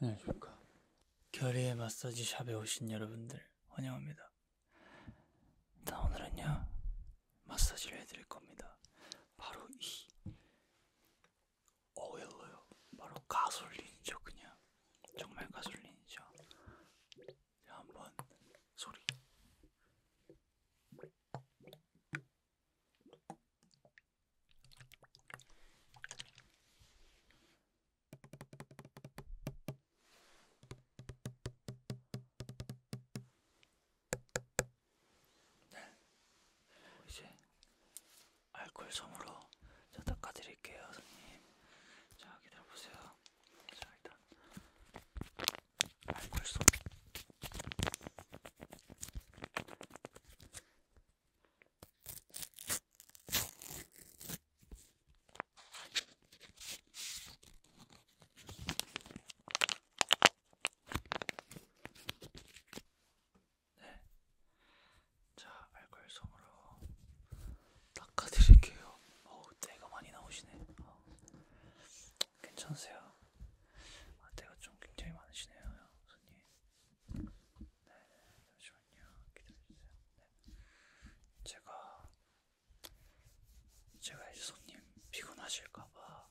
안녕하십니까. 네, 결의의 마사지 샵에 오신 여러분들 환영합니다. 일단 오늘은요, 마사지를 해드릴 겁니다. 바로 이 오일로요. 바로 가솔린이죠, 그냥. 정말 가솔린이죠. 한번 소리. 네. 이제 알콜 솜으로 저 닦아드릴게요, 선생님. 자, 기다려보세요. 자, 일단 알콜 솜. 네. 자, 알콜솜으로 닦아드릴게요. 어우, 때가 많이 나오시네. 어. 괜찮으세요? 아, 때가 좀 굉장히 많으시네요, 손님. 네, 잠시만요. 기다려주세요. 네. 제가, 제가 이제 손님 피곤하실까봐,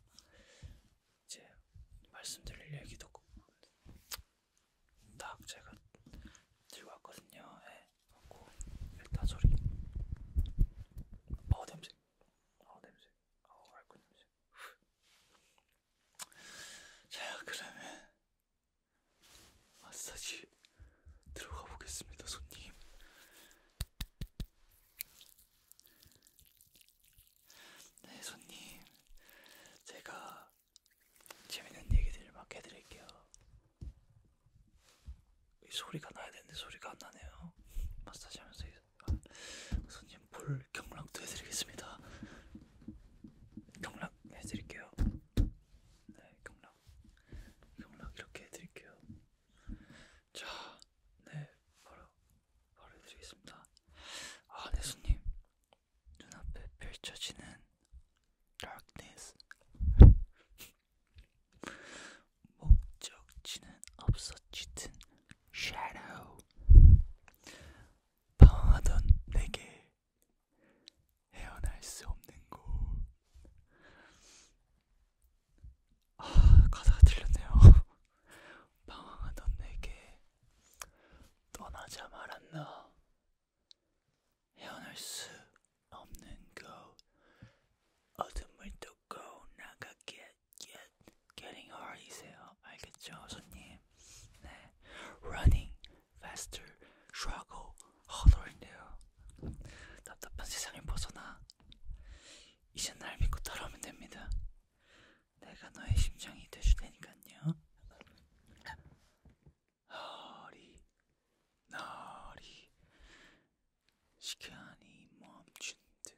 이제 말씀드릴 얘기도 딱 제가 들고 왔거든요. 예. 네. 하고, 일단 소리. 어, 냄새. 어, 냄새. 어, 알코 냄새. 자, 그러면 마사지 들어가 보겠습니다, 손님. 네, 손님. 제가 재밌는 얘기들을 막 해드릴게요. 이 소리가 나야 되는데 소리가 안 나네요. 마사지하면서 손님 볼 경락도 해드리겠습니다. 경락 해드릴게요. 네, 경락, 경락 이렇게 해드릴게요. 자, 네, 바로 바로 해드리겠습니다. 아, 네, 손님 눈앞에 펼쳐지는 darkness. 목적지는 없어지든 shadow 방황하던 내게 헤어날 수 없는 곳. 아, 가사가 틀렸네요. 방황하던 내게 떠나자 말았나. 헤어날 수 없는 곳. 어둠을 뚫고 나가게 get, get, getting hard이세요. 알겠죠, 손님? 네. running, faster, struggle, 허들인데요. 답답한 세상에 벗어나. 이제 날 믿고 따라오면 됩니다. 내가 너의 심장이 되줄 테니까요. 허리, 너리, 시간이 멈춘 듯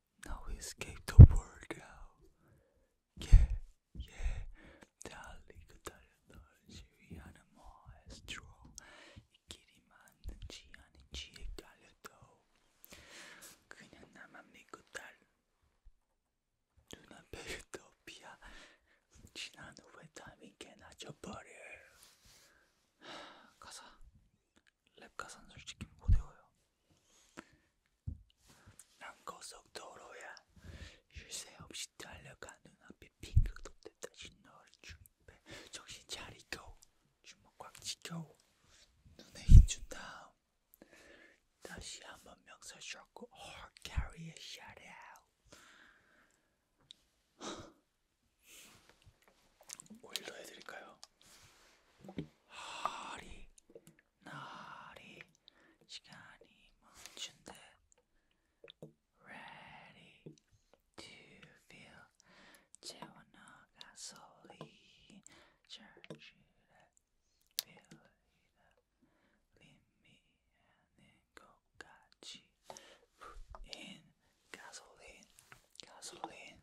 Now we escape the world out. Yeah, yeah. 달리고 그 달려 널 지휘하는 마에스트로. 이 길이 맞는지 아닌지 헷갈려도 그냥 나만 믿고 달. 눈앞에 유토피아. 지난 후에 타이밍 개나 줘버려. 가사. 랩 가사는 솔직히 못 외워요. 난 고속도로야 쉴새 없이 달려가 눈앞에 핑크 돋대 다시 너를 주입해 정신 차리고 주먹 꽉 쥐고 눈에 힘준 다음 다시 한번 명사 줬고 or carry a shot out 올려 해드릴까요? 허리 나리 시간이 멈춘 Ready to feel 채워나가 소리 절실해 빌리다 림미하는 것까지 Put in gasoline, gasoline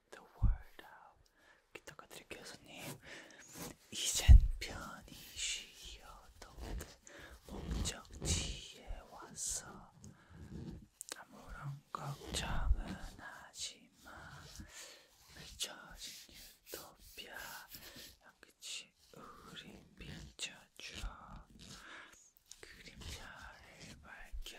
the word out. 닦아드릴게요, 손님. 이젠 편히 쉬어도 목적지에 왔어. 아무런 걱정은 하지 마. 펼쳐진 유토피아. 양끝이 우리 비춰줘. 그림자를 밝혀.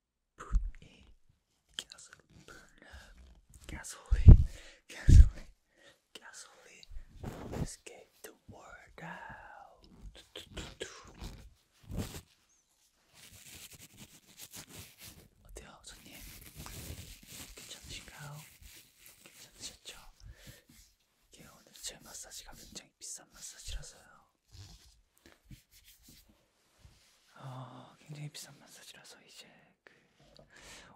분이 가솔린 가솔린 가솔린 가솔린 Let's get the word out 어때요 손님? 괜찮으신가요? 괜찮으셨죠? 이게 오늘 제 마사지가 굉장히 비싼 마사지라서요 아, 굉장히 비싼 마사지라서 이제 그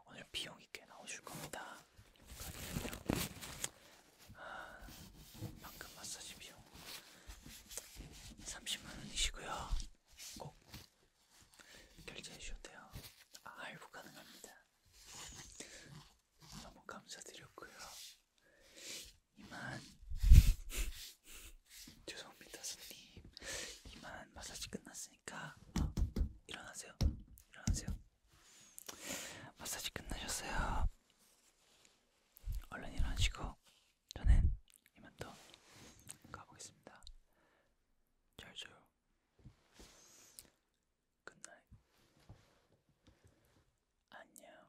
오늘 비용이 꽤 나오실 겁니다. 그러니까요. 아, 방금 마사지 비용 30만 원이시고요. 꼭 결제해 주셔도 돼요. 아, 할부 가능합니다. 너무 감사드렸고요. 이만 죄송합니다 손님 이만 마사지 끝났으니까 어, 일어나세요 일어나세요 마사지 끝나셨어요 얼른 일어나시고 저는 이만 또 가보겠습니다 잘죠 끝날 안녕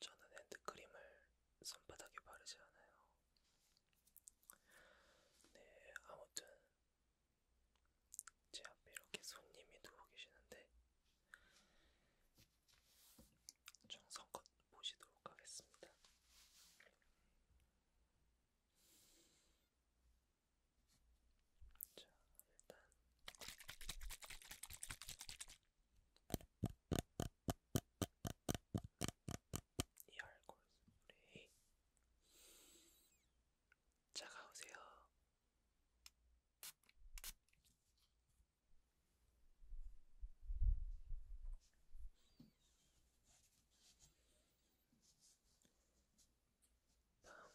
저는 핸드크림을 손바닥에 바르지 않아요. 네, 아무튼 제 앞에 이렇게 손님이 들어오 계시는데 정성껏 보시도록 하겠습니다. 자, 일단 이 알코올 스프레이 차가우세요.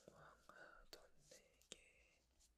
방황하던 내게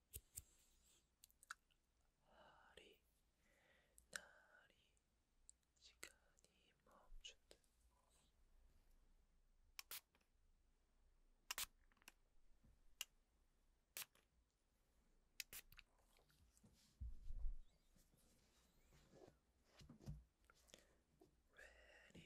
날이 날이 시간이 멈춘다. Ready,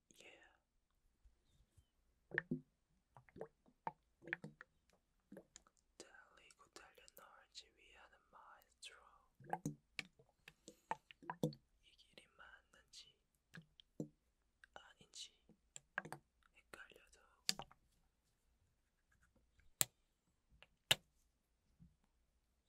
Yeah. 달리고 달려 널 지휘하는 마에스트로 이 길이 맞는지 아닌지 헷갈려도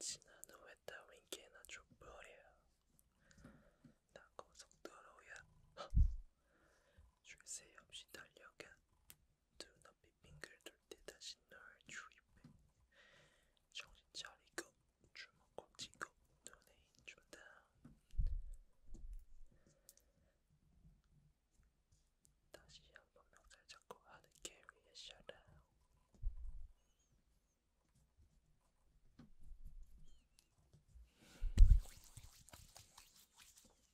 지나는 외딴 윙키나 족벌이야. 나 고속도로야. 쉴새 없이 달려간 두 눈앞이 빙글 돌때 다시 널 주입해 정신 차리고 주먹 꼭 쥐고 눈에 힘준다 다시 한번 명찰 잡고 하늘길 위에 샤라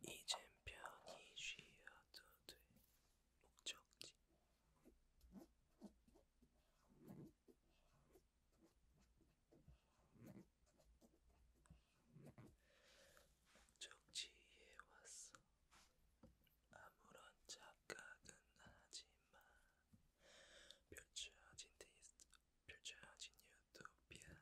이젠 편히 쉬어도 될 목적지. 정치해 왔어. 아무런 착각은 하지마. 펼쳐진 디스, 펼쳐진 유토피아.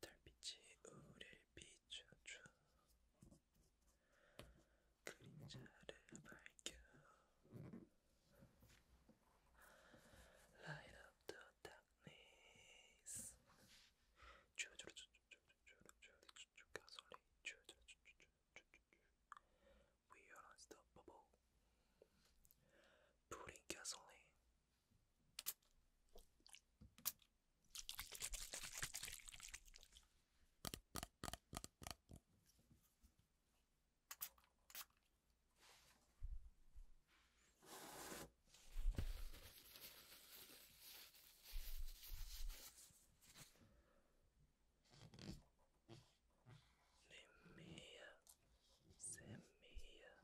달빛이 우릴 비춰줘 그림자를 밝혀 Light up the darkness 조조조조 We are unstoppable. Putting gasoline. Send me here. Send me here.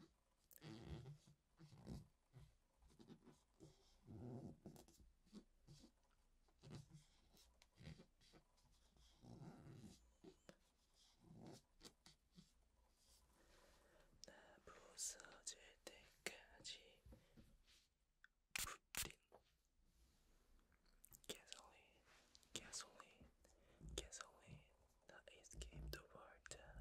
나 Gasoline, gasoline, gasoline that escaped the water.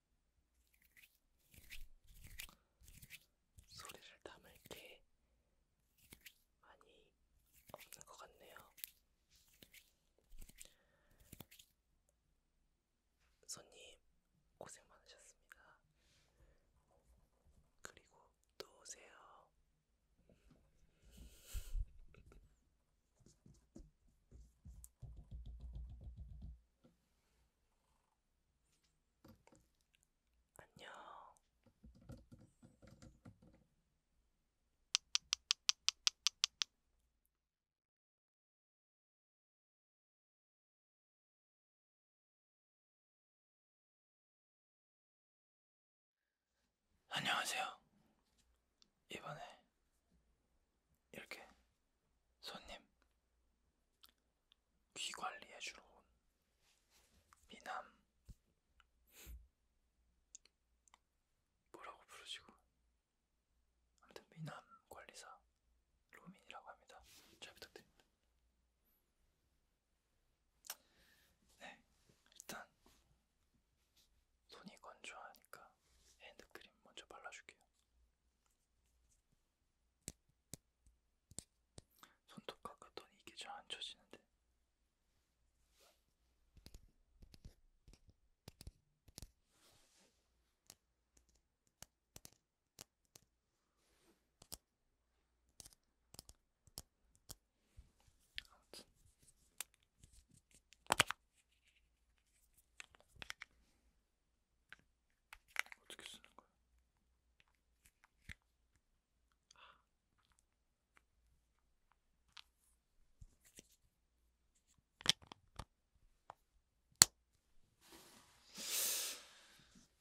소리를 담을 게 많이 없는 것 같네요. 손님 고생 많으셨습니다. 그리고 또 오세요. 안녕. 안녕하세요. 이번에 이렇게 손님, 귀 관리해주러 온 미남 뭐라고 부르시고 아무튼 미남 관리사 로민이라고 합니다. 잘 부탁드립니다. 네, 일단 손이 건조하니까 핸드크림 먼저 발라줄게요. 손톱 깎았더니 이게 잘안 쳐지는데. 아무튼. 어떻게 쓰는 거야?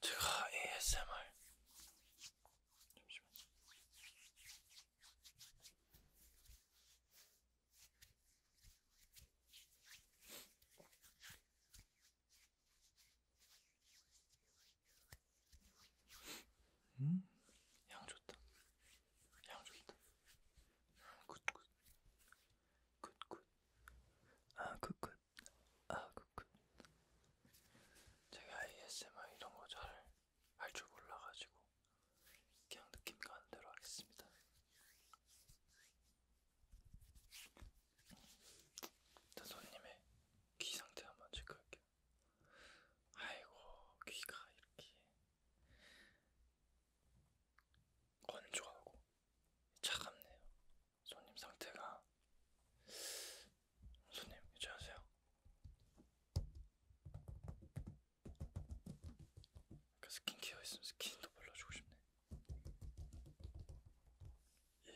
제가 ASMR 잠시만요. 음, 향 좋다. 향 좋다. 굿굿. 굿굿. 아, 굿굿. 아, 굿굿. 제가 ASMR 이런 거 잘 할 줄 몰라가지고 그냥 느낌 가는 대로 하겠습니다. 자, 손님의 귀 상태 한번 체크할게요. 아이고, 귀가 이렇게 건조하고 차갑네요. 손님 상태가 손님 괜찮으세요? 그 스킨케어 있으면 스킨도 발라주고 싶네.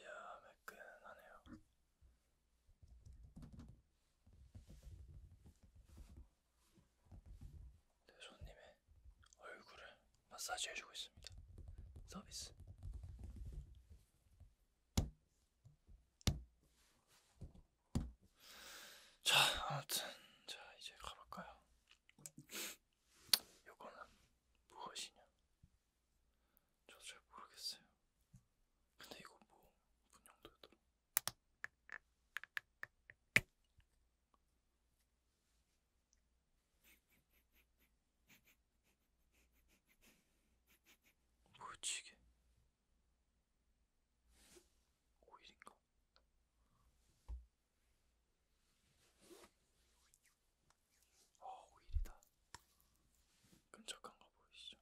이야 매끈하네요. 내 네, 손님의 얼굴을 마사지해주고 있습니다. 서비스. 자 아무튼 자 이제 가볼까요? 요거는 무엇이냐? 저도 잘 모르겠어요. 근데 이거 뭐 분용도였더라. 뭐였지 이게? 오일인가? 어, 오일이다. 끈적한 거 보이시죠?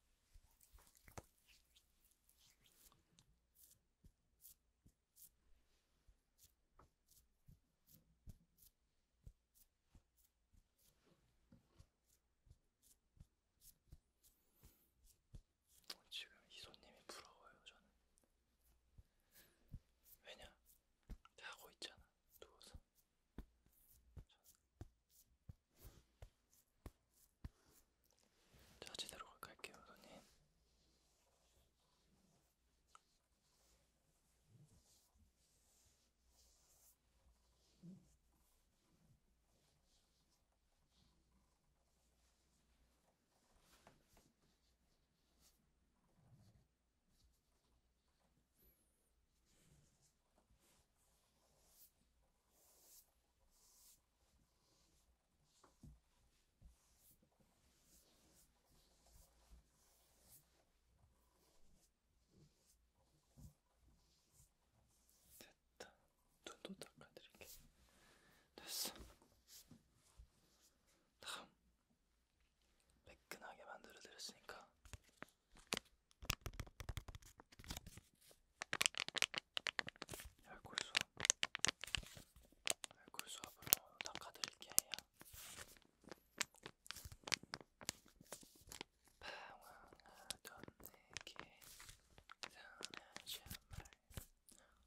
지금 이 손님이 부러워요, 저는. 왜냐? 자고 있잖아. 누워서. 자, 제대로 갈게요, 손님. 됐다. 눈도 닦아드릴게. 됐어. 다음 매끈하게 만들어 드렸으니까 알콜수 알콜수압으로 닦아드릴게요. 방황하던 내게 사나지 말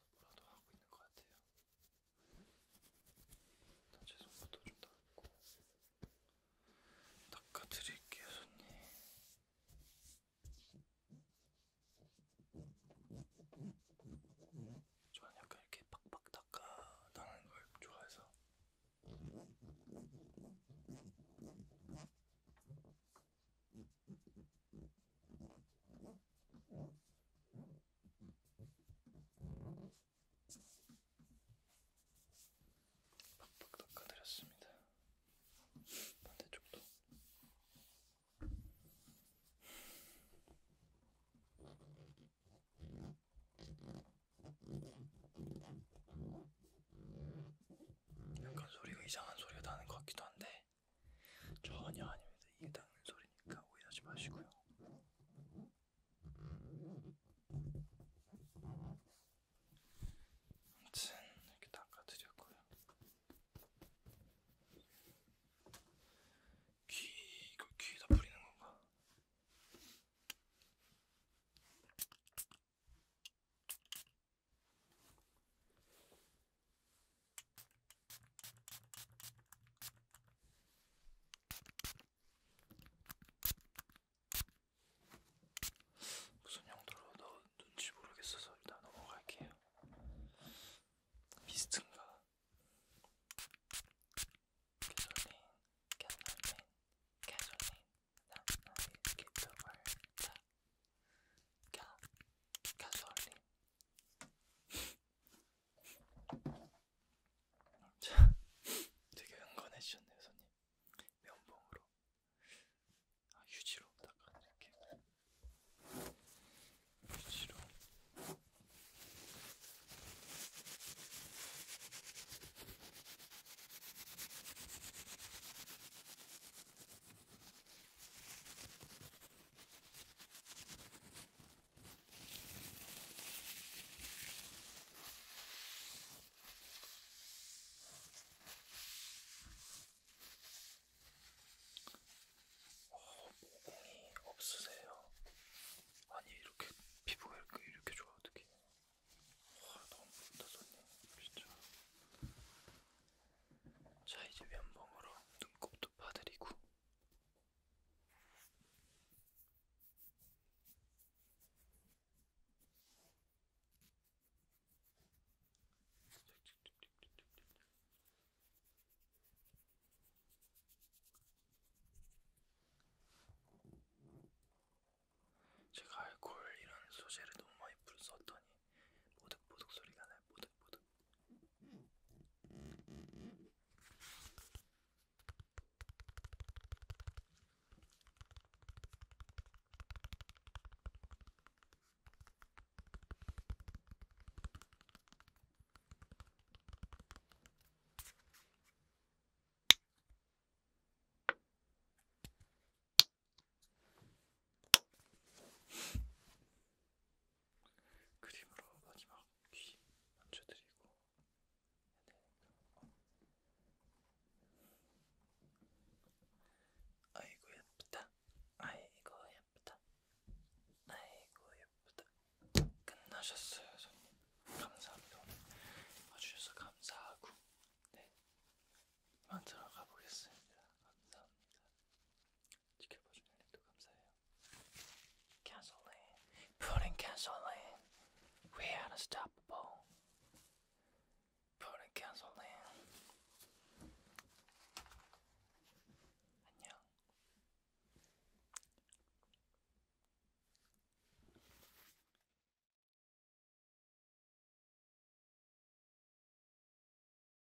연습으로도 하고 있는 것 같아요. 일단 제 손부터 좀 닦고 닦아드릴게요, 손님. 저는 약간 이렇게 팍팍 닦아 나는 걸 좋아해서 팍팍 닦아드렸습니다. 반대쪽도. 약간 소리가 이상한 소리가 나는 것 같기도 한데 전혀 아닙니다. 이게 닦는 소리니까 오해하지 마시고요. 아무튼 이렇게 닦아드렸고요. 귀 이거 귀에다 뿌리는 건가? 무슨 용도로 넣었는지 모르겠어서 일단 넘어갈게요. 미스트인가? 캐슬린, 캐슬린, 캐슬린, 난 나의 기쁨을 다 가, 가솔린. 자, 되게 응원해 주셨네요, 손님. 면봉으로, 아, 휴지로 닦아드릴게요. 휴지로. 어, 모공이 없으세요? 아니 이렇게 피부가 이렇게, 이렇게 좋아 어떻게? 와 아, 너무 부럽다 손님 진짜. 자 이제 면봉으로 눈곱도 파드리고 제가 알코올이라는 소재를 너무 많이 불었더니 모득모득 소리가 나요. 모득모득. 그림으로 마지막 귀 만져드리고 네. 아이고 예쁘다 아이고 예쁘다 아이고 예쁘다 끝나셨어요 손님 감사합니다 오늘 와주셔서 감사하고 네 이만 들어가 보겠습니다 감사합니다 지켜봐준 연락도 감사해요. Gasoline, putting gasoline, we are unstoppable. Putting gasoline. 안녕.